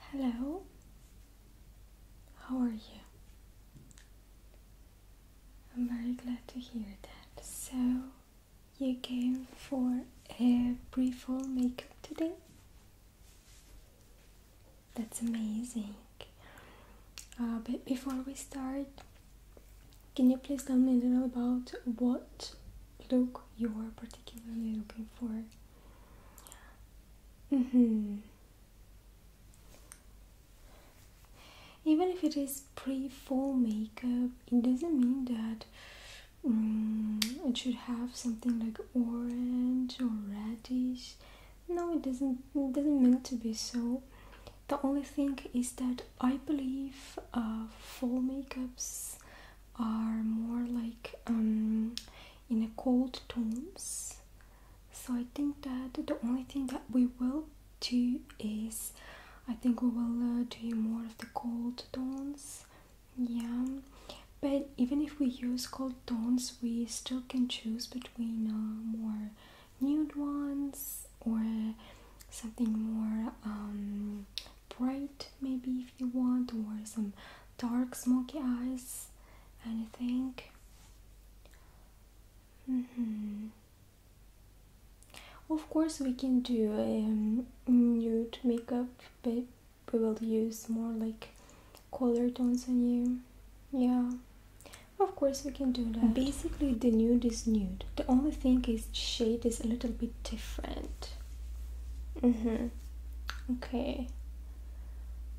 Hello, how are you? I'm very glad to hear that. So, you came for a pre fall makeup today? That's amazing. Uh, but before we start, can you please tell me a little about what look you're particularly looking for? Mm-hmm. Even if it is pre fall makeup, it doesn't mean that mm, it should have something like orange or reddish. No, it doesn't. It doesn't mean to be so. The only thing is that I believe uh, full makeups are more like um, in a cold tones so i think that the only thing that we will do is i think we will uh, do more of the cold tones yeah but even if we use cold tones we still can choose between uh, more nude ones or something more um, bright maybe you want to wear some dark smoky eyes anything mm -hmm. of course we can do a um, nude makeup but we will use more like color tones on you yeah of course we can do that basically the nude is nude the only thing is shade is a little bit different mm-hmm okay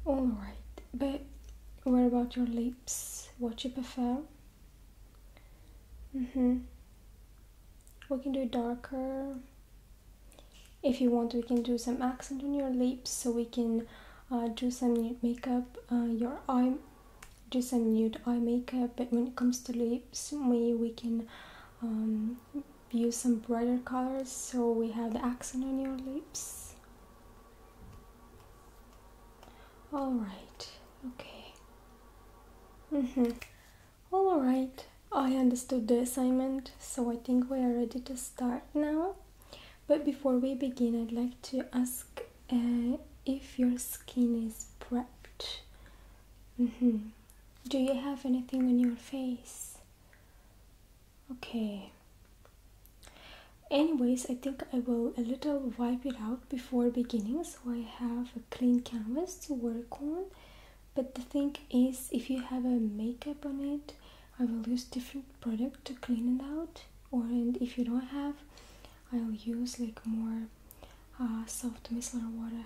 Alright, but what about your lips? What you prefer? Mm-hmm. We can do darker. If you want, we can do some accent on your lips so we can uh, do some nude makeup, uh, your eye, do some nude eye makeup. But when it comes to lips, we, we can um, use some brighter colors so we have the accent on your lips all right okay mm-hmm all right i understood the assignment so i think we are ready to start now but before we begin i'd like to ask uh, if your skin is prepped mm-hmm. do you have anything on your face okay anyways i think i will a little wipe it out before beginning so i have a clean canvas to work on but the thing is if you have a makeup on it i will use different product to clean it out or and if you don't have i'll use like more uh, soft micellar water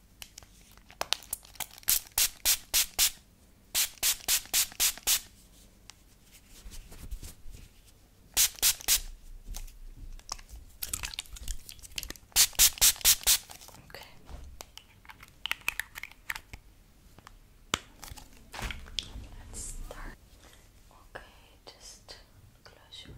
Okay. Let's start. Okay, just close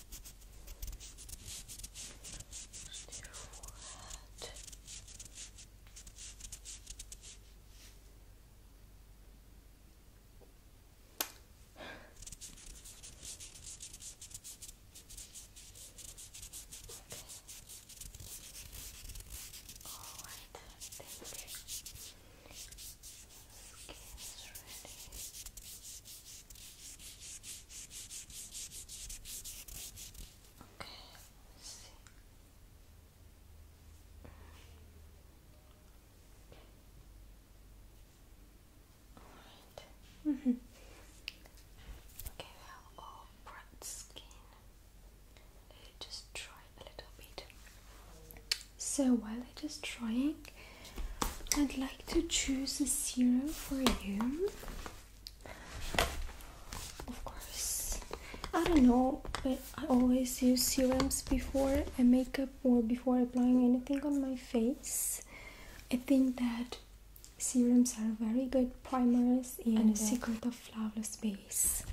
Just Okay. All right. Thank you skin is ready. Okay, let's see. Mm-hmm. All right. okay, we have bright skin. Let it just dry a little bit. So while it is drying, I'd like to choose a serum for you. Of course, I don't know, but I always use serums before I makeup or before applying anything on my face. I think that serums are very good primers and a uh, secret of flawless base.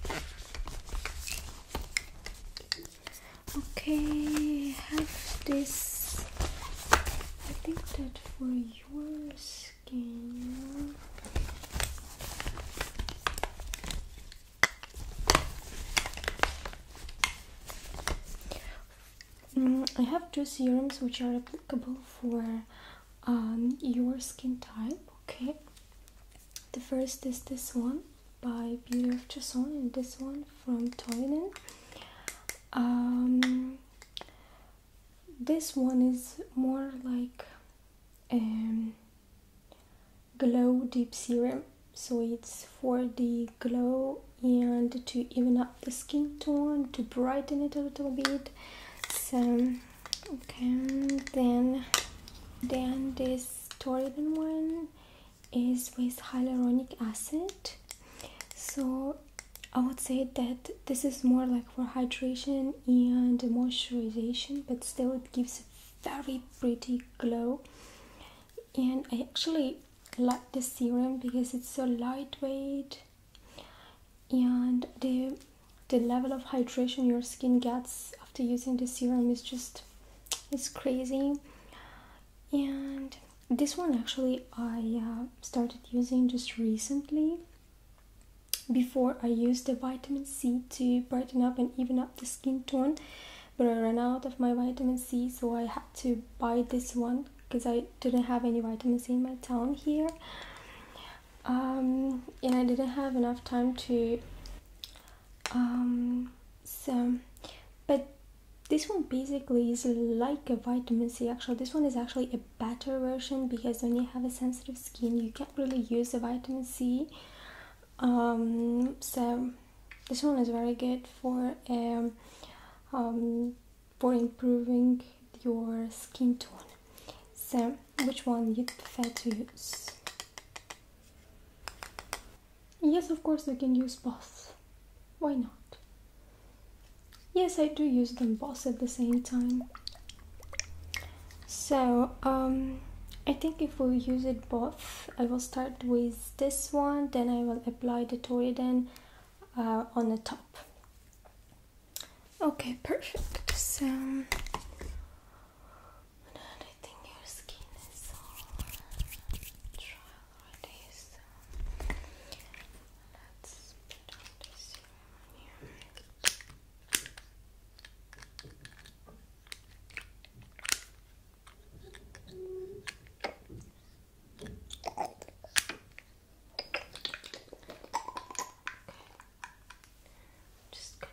Okay, I have this. I think that for your skin. Mm, I have two serums which are applicable for um, your skin type. Okay, the first is this one by Beauty of Jason and this one from Toynen. Um, this one is more like um, glow deep serum so it's for the glow and to even up the skin tone to brighten it a little bit so okay then then this Toriden one is with hyaluronic acid. So I would say that this is more like for hydration and moisturization, but still it gives a very pretty glow. And I actually like the serum because it's so lightweight and the the level of hydration your skin gets after using the serum is just it's crazy and this one actually I uh, started using just recently. Before I used the vitamin C to brighten up and even up the skin tone, but I ran out of my vitamin C, so I had to buy this one because I didn't have any vitamin C in my town here. Um, and I didn't have enough time to um, so but this one basically is like a vitamin C actually this one is actually a better version because when you have a sensitive skin you can't really use a vitamin C um, so this one is very good for um, um, for improving your skin tone so which one you prefer to use Yes, of course, we can use both. Why not? Yes, I do use them both at the same time. So, um, I think if we use it both, I will start with this one, then I will apply the Toriden uh, on the top. Okay, perfect. So, already, so let's put on your eyes. just gonna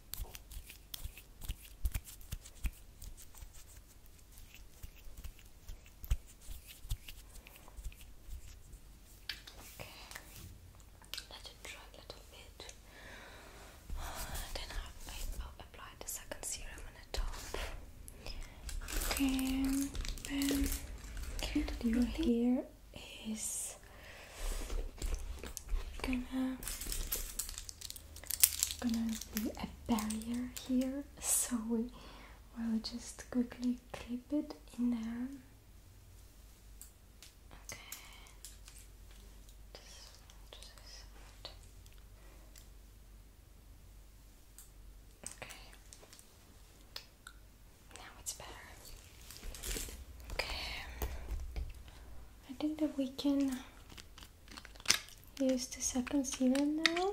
Okay, let it dry a little bit. Then I'll apply the second serum on the top. Okay, then your hair is gonna gonna be a barrier here, so we will just quickly clip it in there. Okay. Just, just okay. Now it's better. Okay. I think that we can use the second serum now.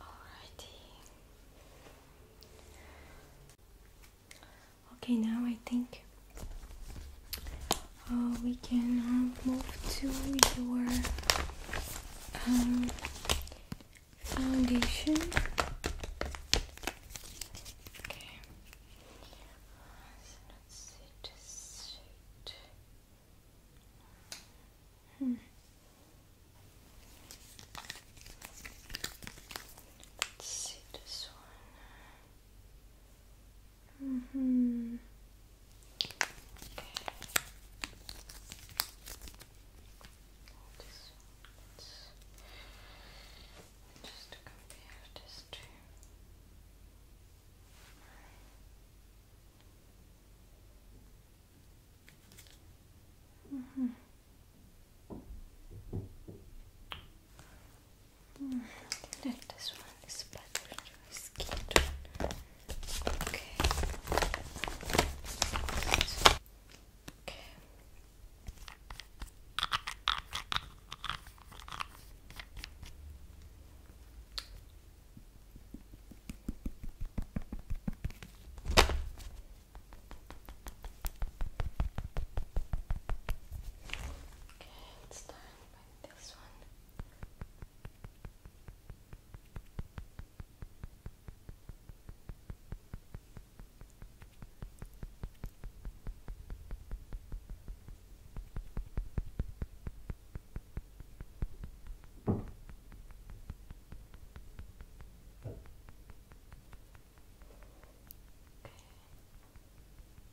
Alrighty. Okay, now I think uh, we can uh, move to your um, foundation. Okay. Uh, hmm. Let's see this one. Mm -hmm. This one. Just compare this to. Mm -hmm. I hmm, like this one Okay. Okay. Okay, it's time this one. Okay.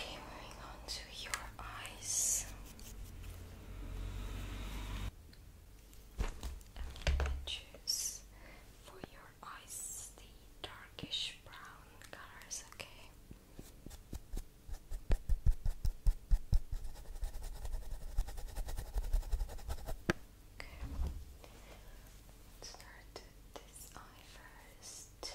Okay, moving your eyes and choose for your eyes the darkish brown colors, okay? let's start with this eye first.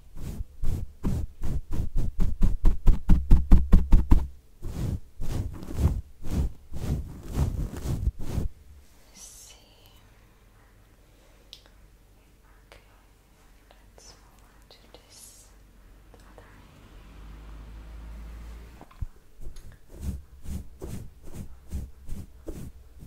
Let's see. Okay, let's move on to this other eye.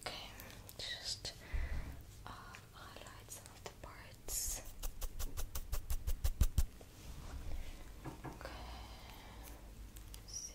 Okay, just uh, highlight some of the parts. Okay, see.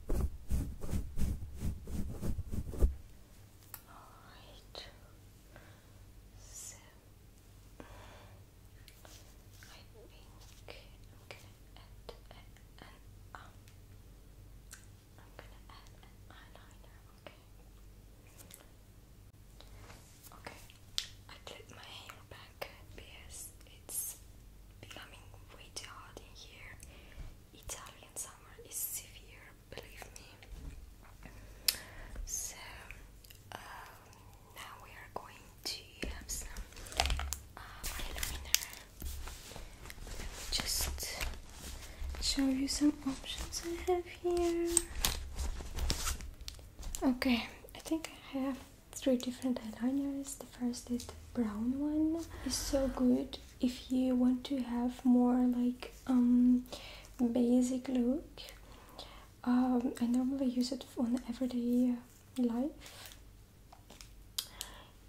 Alright. So I think I'm gonna add an um I'm gonna add an eyeliner, okay? Okay. I clip my hair back because it's becoming way too hot in here. Italian summer is severe, believe me. So um, now we are going to have some uh, eyeliner. Let me just show you some options I have here. Okay, I think I have three different eyeliners first is the brown one is so good if you want to have more like um basic look um, I normally use it on everyday life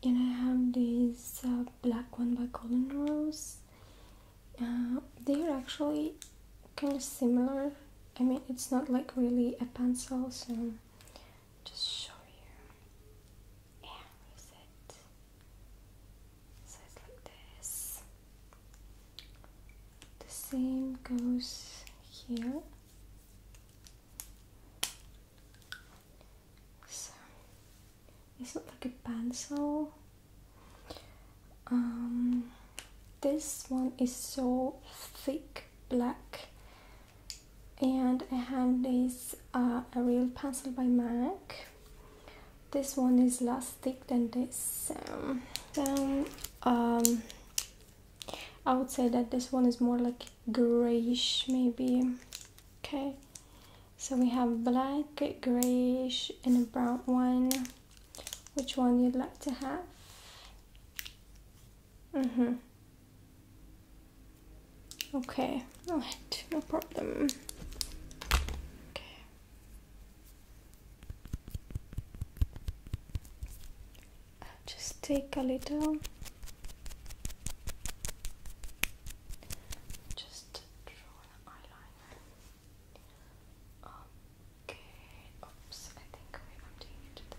and I have this uh, black one by Colin Rose uh, they're actually kind of similar I mean it's not like really a pencil so just show you and raise it. it's like this. The same goes here. So it's not like a pencil. Um, this one is so thick black and I have this uh, a real pencil by MAC this one is less thick than this um, then um, I would say that this one is more like grayish maybe okay so we have black grayish and a brown one which one you'd like to have mm-hmm Okay, alright, no problem. Okay. just take a little. Just draw an eyeliner. Okay, oops, I think I'm doing it to the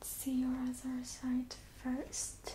Let's see your other side first.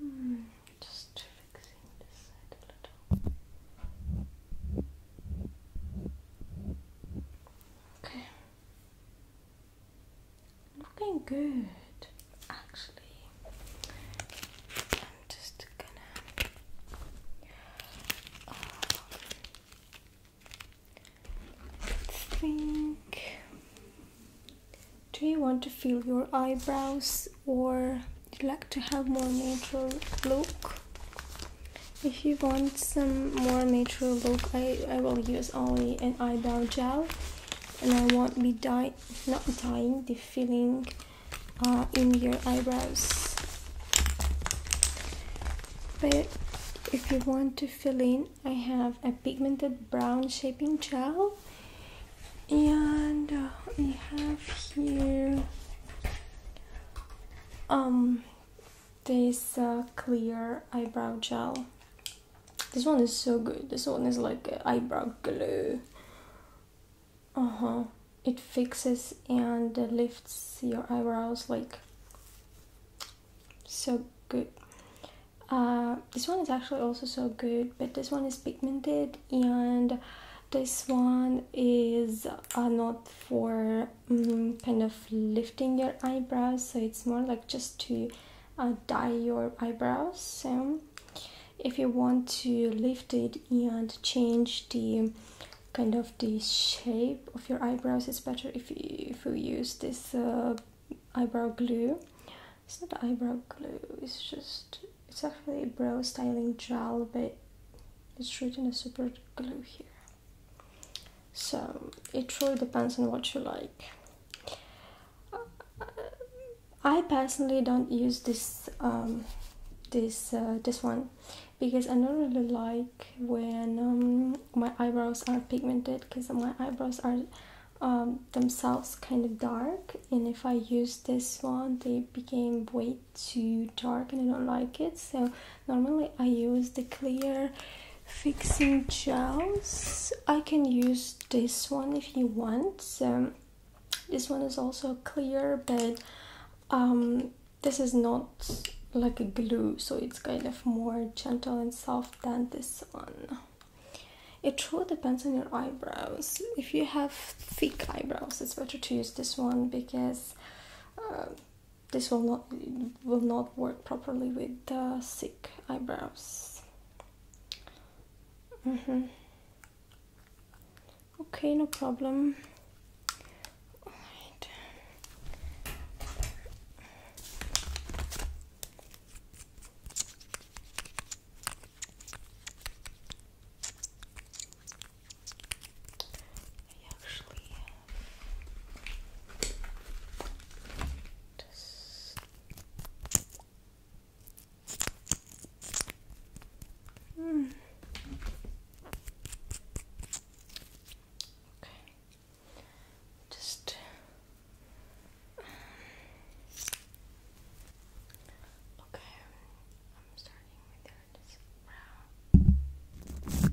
Hmm, just fixing this side a little. Okay. Looking good, actually. I'm just gonna. Um, think do you want to fill your eyebrows or you like to have more natural look if you want some more natural look I, I will use only an eyebrow gel and I won't be dye not dyeing the filling uh, in your eyebrows but if you want to fill in I have a pigmented brown shaping gel and uh, we have here um this uh, clear eyebrow gel this one is so good this one is like eyebrow glue uh-huh it fixes and lifts your eyebrows like so good uh, this one is actually also so good but this one is pigmented and this one is uh, not for mm, kind of lifting your eyebrows so it's more like just to uh, dye your eyebrows so if you want to lift it and change the kind of the shape of your eyebrows it's better if you if you use this eyebrow glue it's not eyebrow glue it's just it's actually a brow styling gel but it's treating a super glue here so it truly depends on what you like I personally don't use this um, this uh, this one because I don't really like when um, my eyebrows are pigmented because my eyebrows are um, themselves kind of dark and if I use this one they became way too dark and I don't like it so normally I use the clear fixing gels I can use this one if you want so this one is also clear but um, this is not like a glue so it's kind of more gentle and soft than this one it truly depends on your eyebrows. If you have thick eyebrows, it's better to use this one because um, this will not will not work properly with thick eyebrows. Mm -hmm. Okay, no problem. I actually just mm. okay. Just Okay, I'm starting with your this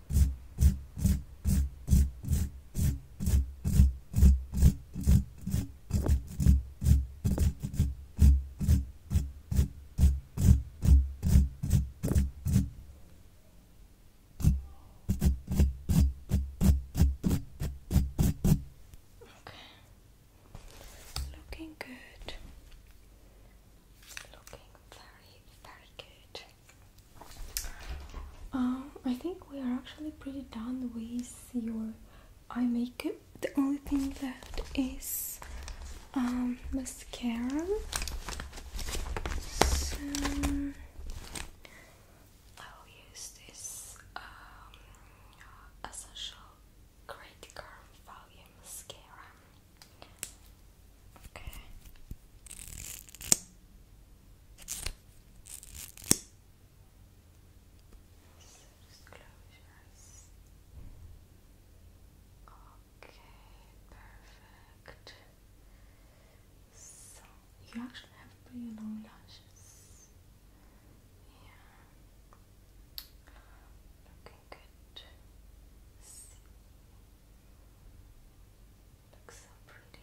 Looking good. Looking very, very good. Um, I think we are actually pretty done with your eye makeup. The only thing left is um, mascara. So I will use this um, essential great curl volume mascara. Okay just close your eyes. Okay, perfect. So you actually have pretty long lashes. Yeah. Looking good. Looks so pretty.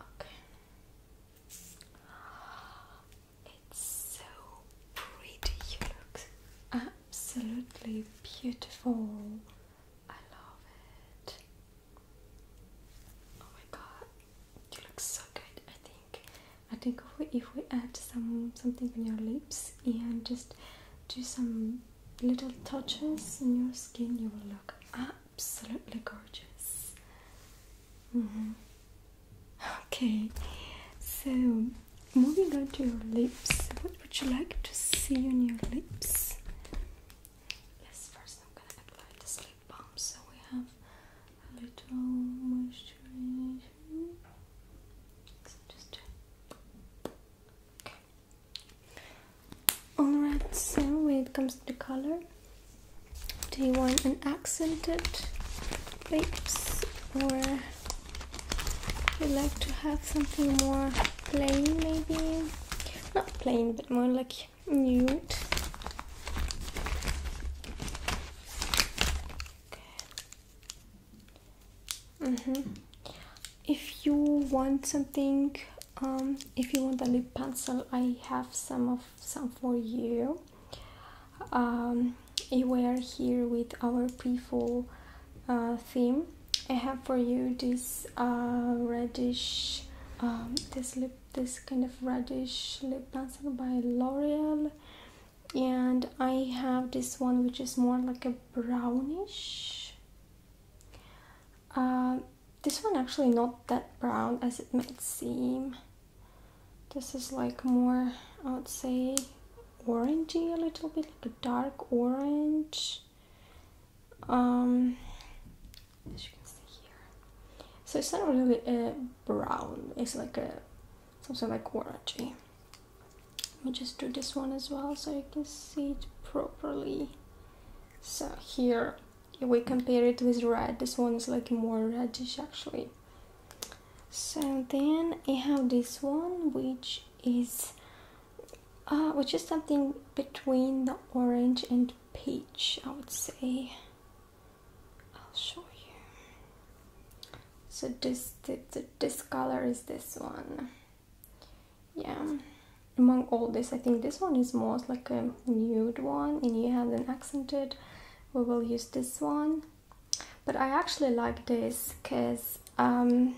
Okay. It's so pretty. You look absolutely beautiful. I love it. Oh my god, you look so good. I think. I think if we, add some something on your lips and just do some little touches in your skin, you will look absolutely gorgeous. Mm-hmm. Okay, so moving on to your lips, what would you like to see on your lips? Yes, first I'm gonna apply the lip balm so we have a little moisturization. Alright, so when it comes to the color, do you want an accented lips or you like to have something more plain maybe? Not plain, but more like nude. Mm -hmm. If you want something, um, if you want a lip pencil, I have some of some for you. Um, we are here with our pre-fall uh, theme. I have for you this uh, reddish, um, this lip, this kind of reddish lip pencil by L'Oreal and I have this one which is more like a brownish uh, this one actually not that brown as it might seem this is like more I would say orangey a little bit like a dark orange um, as you can see here so it's not really a brown it's like a Something like orangey. Let me just do this one as well so you can see it properly. So here we compare it with red. This one is like more reddish actually. So then I have this one which is uh, which is something between the orange and peach I would say. I'll show you so this this color is this one yeah among all this i think this one is most like a nude one and you have an accented we will use this one but i actually like this because um,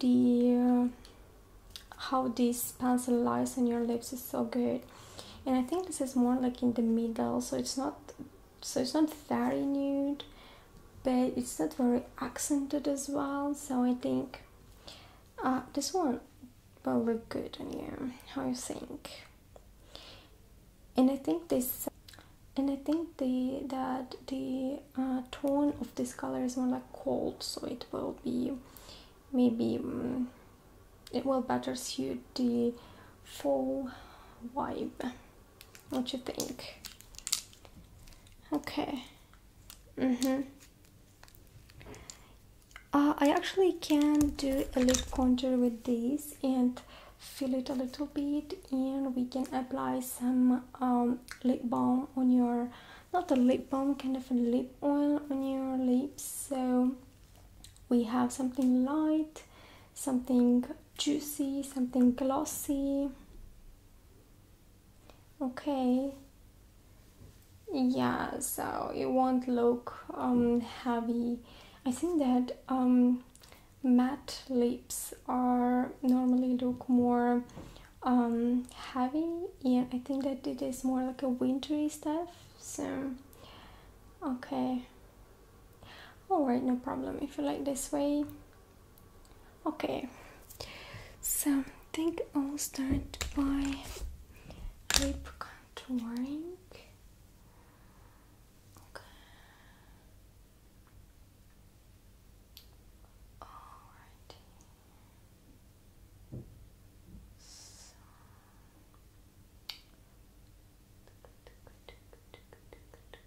the uh, how this pencil lies on your lips is so good and i think this is more like in the middle so it's not so it's not very nude but it's not very accented as well so I think uh, this one will look good on you how you think and I think this and I think the that the uh, tone of this color is more like cold so it will be maybe mm, it will better suit the fall vibe what you think? Okay. Mm-hmm. Uh, I actually can do a lip contour with this and fill it a little bit and we can apply some um, lip balm on your not a lip balm kind of a lip oil on your lips so we have something light something juicy, something glossy. Okay. Yeah, so it won't look um, heavy. I think that um, matte lips are normally look more um, heavy Yeah, I think that it is more like a wintry stuff. So, okay. Alright, no problem. If you like this way, Okay, so I think I'll start by lip contouring.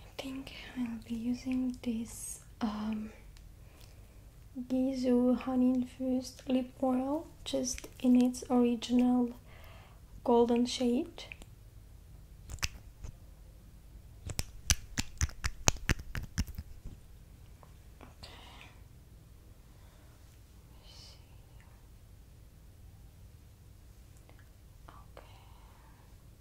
I think I'll be using this um, Gizu honey infused lip oil just in its original golden shade.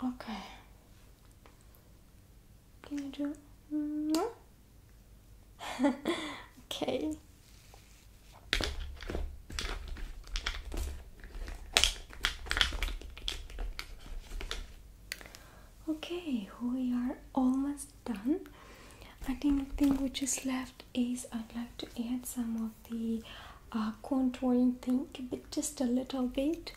Okay. Can okay. Okay, we are almost done. The thing which is left is I'd like to add some of the uh, contouring thing but just a little bit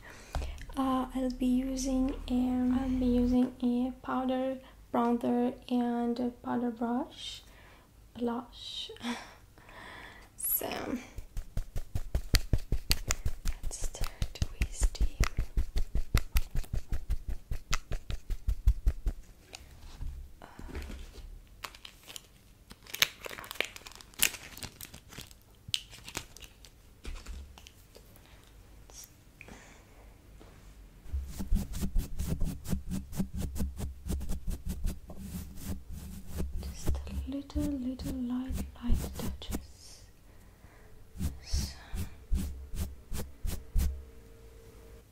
uh, I'll be using a, I'll be using a powder bronzer and a powder brush blush so let's start twisting just a little, little light, light touches.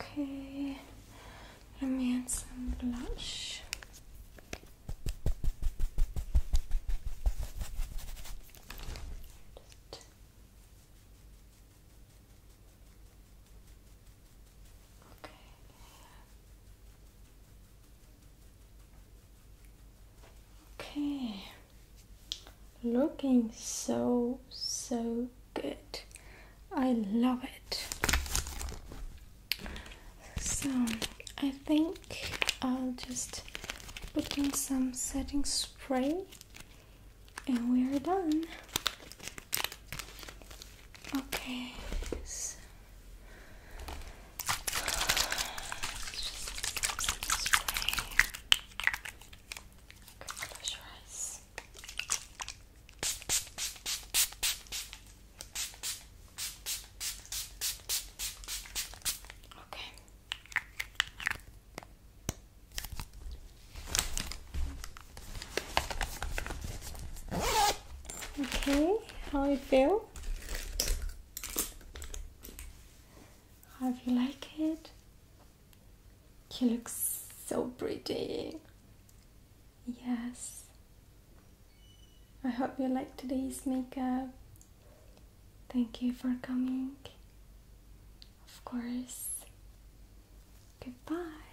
Okay, let me add some blush. okay. Okay looking so so good i love it so i think i'll just put in some setting spray and we are done okay Okay, close your eyes. Okay. Okay, how you feel? How do you like it? You look so pretty. Yes. I hope you like today's makeup. Thank you for coming. Of course. Goodbye.